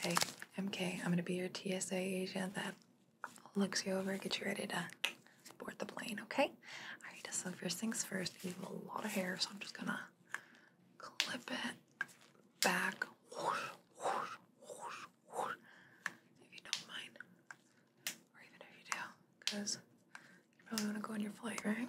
Hey, MK, I'm gonna be your TSA agent that looks you over, gets you ready to board the plane, okay? Alright, so first things first, you have a lot of hair, so I'm just gonna clip it back. if you don't mind. Or even if you do, because you probably wanna go on your flight, right?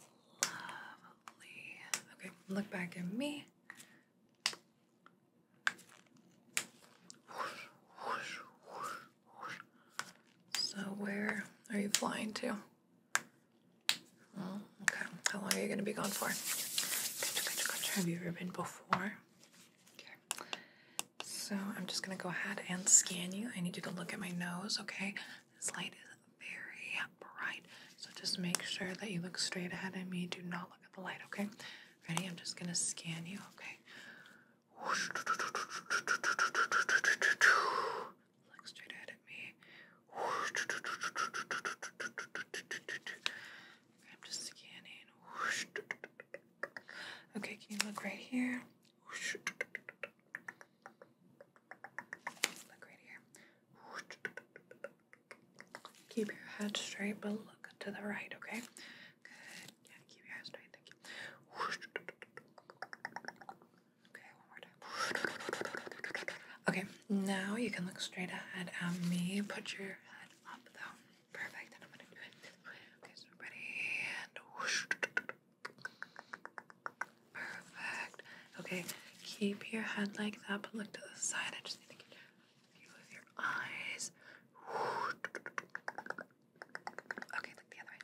Lovely. Okay, look back at me. So, where are you flying to? Oh, okay. How long are you going to be gone for? Have you ever been before? Okay. So I'm just gonna go ahead and scan you. I need you to look at my nose, okay? This light is very bright. So just make sure that you look straight ahead at me. Do not look at the light, okay? Ready? I'm just gonna scan you, okay? Look straight ahead at me. I'm just scanning. Okay, can you look right here? Keep your head straight, but look to the right, okay? Good. Yeah, keep your head straight. Thank you. Okay, one more time. Okay, now you can look straight ahead at me. Put your head up, though. Perfect. And I'm gonna do it Okay, so ready and whoosh. Perfect. Okay, keep your head like that, but look to the side. I just need to get a view of your eyes. Okay, look the other way.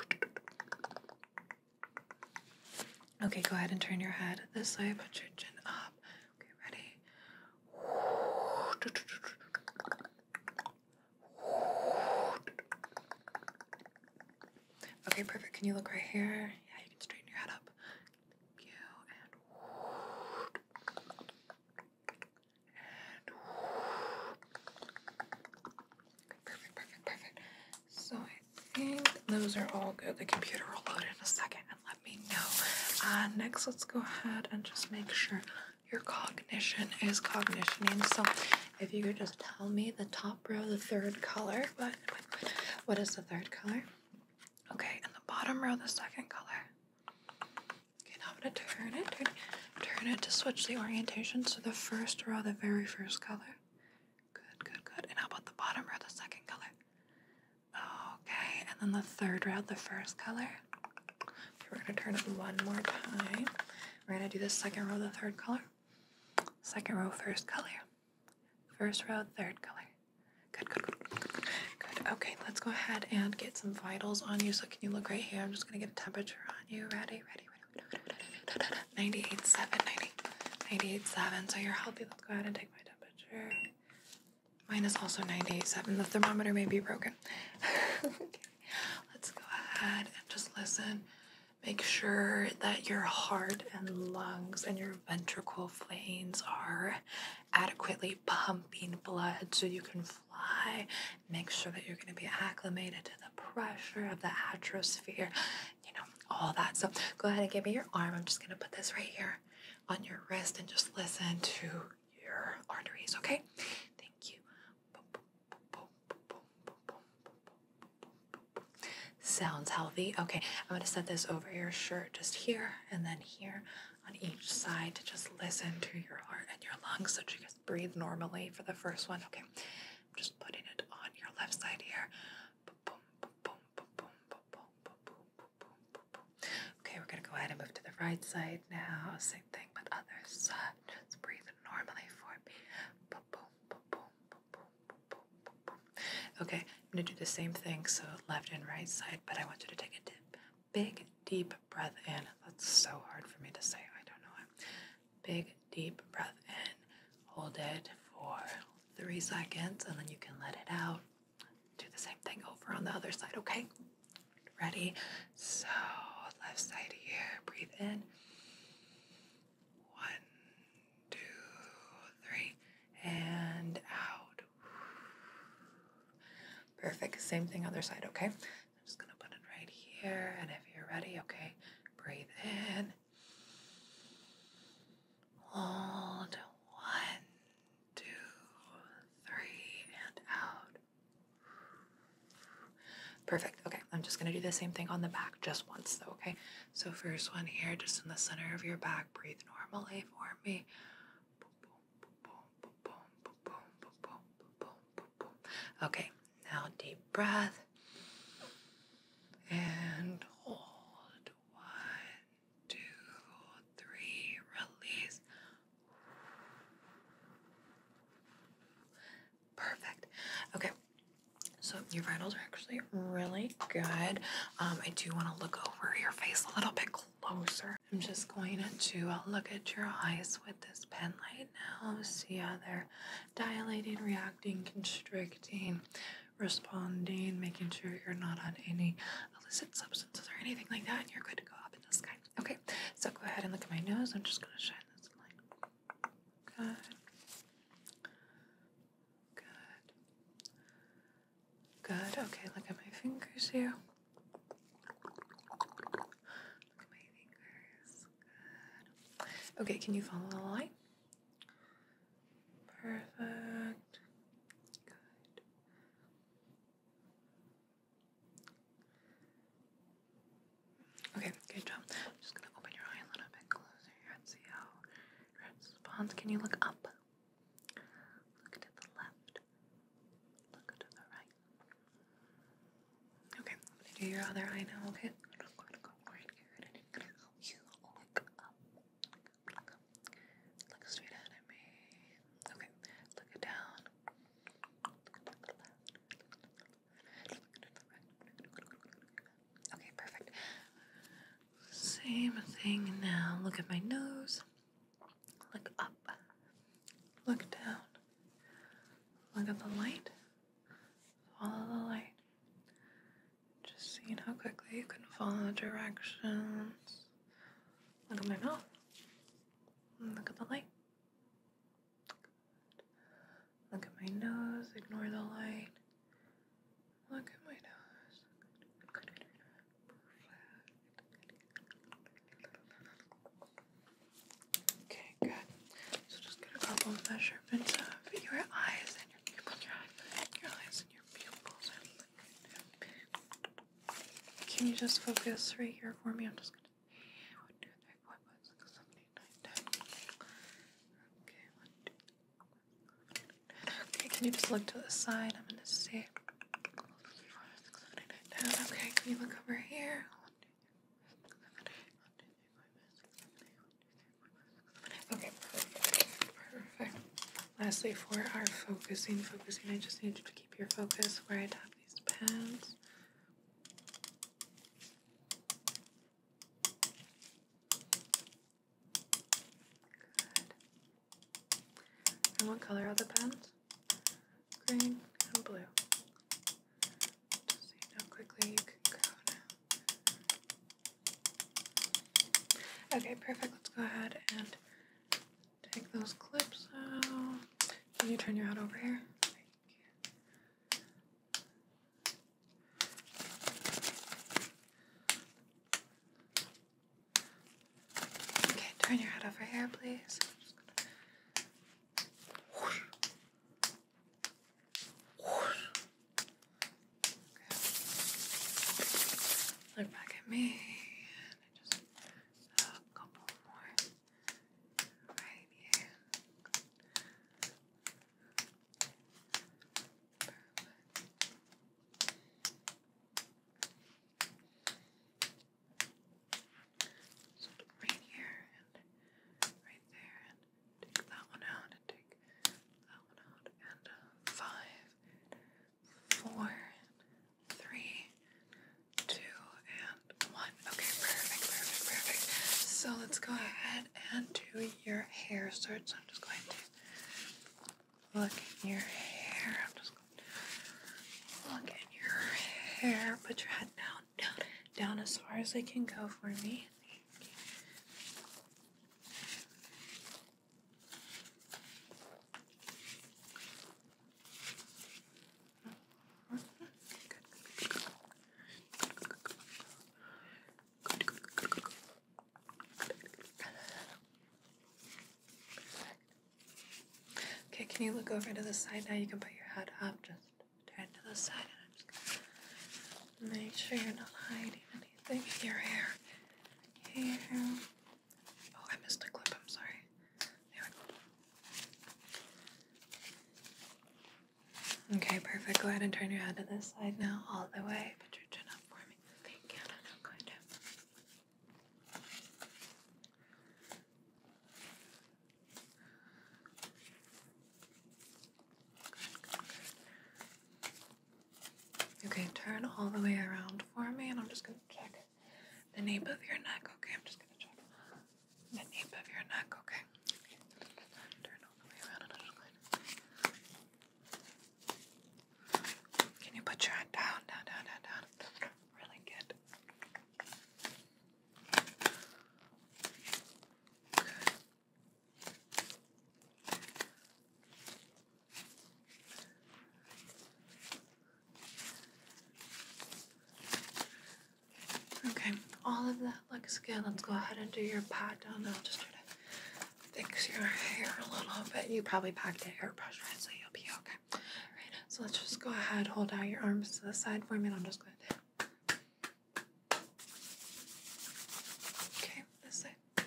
Thank you. Okay, go ahead and turn your head this way. Put your chin up. Okay, ready? Okay, perfect. Can you look right here? Yeah, you can straighten your head up. You and perfect, perfect, perfect. So I think those are all good. The computer will load in a second and let me know. Uh, next, let's go ahead and just make sure your cognition is cognitioning. So if you could just tell me the top row, the third color. What, what is the third color? Okay, and the bottom row, the second color. Okay, now I'm gonna turn it, turn, turn it to switch the orientation. So the first row, the very first color. Good, good, good. And how about the bottom row, the second color? Okay, and then the third row, the first color. Okay, we're gonna turn it one more time. We're going to do the second row, the third color. Second row, first color. First row, third color. Good, good, good, good, good, Okay, let's go ahead and get some vitals on you. So can you look right here? I'm just going to get a temperature on you. Ready, ready, ready. Ninety-eight 98.7, ninety. Ninety-eight seven. So you're healthy. Let's go ahead and take my temperature. Mine is also ninety-eight seven. The thermometer may be broken. Let's go ahead and just listen. Make sure that your heart and lungs and your ventricle veins are adequately pumping blood so you can fly. Make sure that you're going to be acclimated to the pressure of the atmosphere, you know, all that. So go ahead and give me your arm. I'm just going to put this right here on your wrist and just listen to your arteries, okay? Thank you. Sounds healthy. Okay, I'm going to set this over your shirt just here and then here on each side to just listen to your heart and your lungs so you just breathe normally for the first one. Okay, I'm just putting it on your left side here. Okay, we're going to go ahead and move to the right side now thing, but others uh, just breathe normally for me. Boom, boom, boom, boom, boom, boom, boom, boom. Okay, I'm gonna do the same thing, so left and right side, but I want you to take a dip. Big, deep breath in. That's so hard for me to say. I don't know. Big, deep breath in. Hold it for three seconds, and then you can let it out. Do the same thing over on the other side, okay? Ready? So, left side here. Breathe in. One, two, three, and out. Perfect. Same thing, other side, okay? I'm just going to put it right here. And if you're ready, okay, breathe in. Hold. One, two, three, and out. Perfect. Okay, I'm just gonna do the same thing on the back just once though, okay? So, first one here, just in the center of your back, breathe normally for me. Okay, now deep breath and hold. One, two, three, release. Perfect. Okay. So your vitals are actually really good. Um, I do want to look over your face a little bit closer. I'm just going to uh, look at your eyes with this pen light now. See how they're dilating, reacting, constricting, responding, making sure you're not on any illicit substances or anything like that. And you're good to go up Okay, so go ahead and look at my nose. I'm just going to shine this light. Good. Good. Good. Okay, look at my fingers here. my fingers. Good. Okay, can you follow the light? Perfect. Good. Okay, good job. just gonna open your eye a little bit closer here and see how your responds. Can you look up? Look to the left. Look to the right. Okay, I'm do your other eye now, okay? you look up. Look straight at me. Okay, look down. Okay, perfect. Same thing now. Look at my nose. Look up. Look down. Look at the light. Follow the light. Just seeing how quickly you can follow the directions. Look at my mouth. Look at the light. Look at my nose, ignore the light. Look at my nose. Okay, good. So just get a couple measurements of your eyes and your pupils, your eyes, and your pupils. Can you just focus right here for me? I'm just one, two, three, four, five, six, seven, eight, nine, ten. Okay, one, two, three, four, Okay, can you just look to the side? I'm gonna see. Okay, can you look over here? Okay, perfect. Perfect. Lastly, for our focusing, focusing, I just need you to keep your focus where I have these pens. Good. And what color are the pens? Green and blue. Just so you quickly you can go Okay, perfect. Let's go ahead and Take those clips out. Can you turn your head over here? Okay, turn your head over here, please. Look back at me. just a couple more right here. right there, and take that one out, and take that one out, and uh, five, four, three, two, and one. Okay, perfect, perfect, perfect. So let's go ahead and do your hair start. So I'm just going to look at your hair. I'm just going to look at your hair. Put your head down, down, down as far as they can go for me. Okay, can you look over to the side now? You can put your head up, just turn to the side, I'm just make sure you're not hiding anything in your hair. Here. Oh, I missed a clip, I'm sorry. Okay, perfect. Go ahead and turn your head to this side now, all the way. Put your chin up for me. Okay, turn all the way around for me, and I'm just going to check the nape of your neck, okay? I'm just gonna check the nape of your neck, okay? Can you put your hand down, down, down, down, down? Really good. Good. Okay, all of that looks good. Let's go ahead and do your pat down. I'll just try to fix your hair a little bit. You probably packed it airbrush, right? So you'll be okay. All right, so let's just go ahead, hold out your arms to the side for me, I'm just going to. Okay, this side.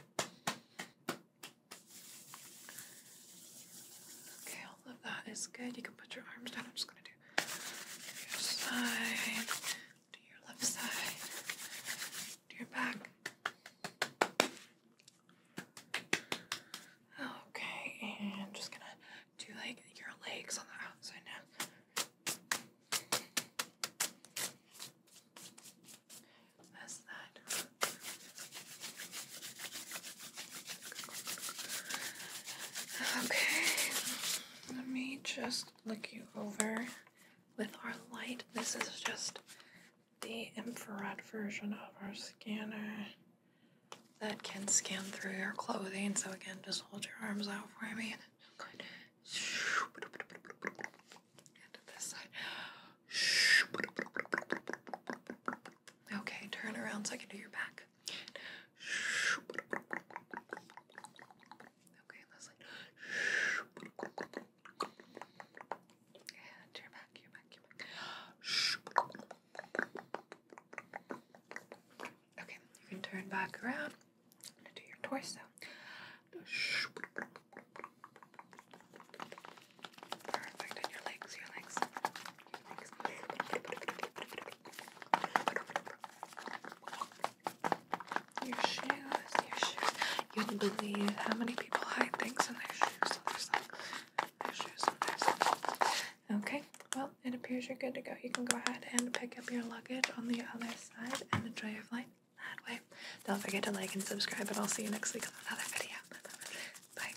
Okay, all of that is good. You can put your arms down. I'm just going to do your side, do your left side, do your back. Okay, and I'm just gonna do like your legs on the outside now. That's that. Okay, let me just look you over with our light. This is just the infrared version of our scanner that can scan through your clothing. So, again, just hold your arms out for me. Okay, turn around so I can do your back. Okay, Leslie. Okay, you can turn back around. I'm gonna do your torso. Perfect. And your legs, your legs. Your shoes, your shoes. You wouldn't believe how many people hide things in their shoes. Their stuff. Their shoes, their stuff. Okay, well, it appears you're good to go. You can go ahead and pick up your luggage on the other side and enjoy your flight that way. Don't forget to like and subscribe, and I'll see you next week on another video. Bye.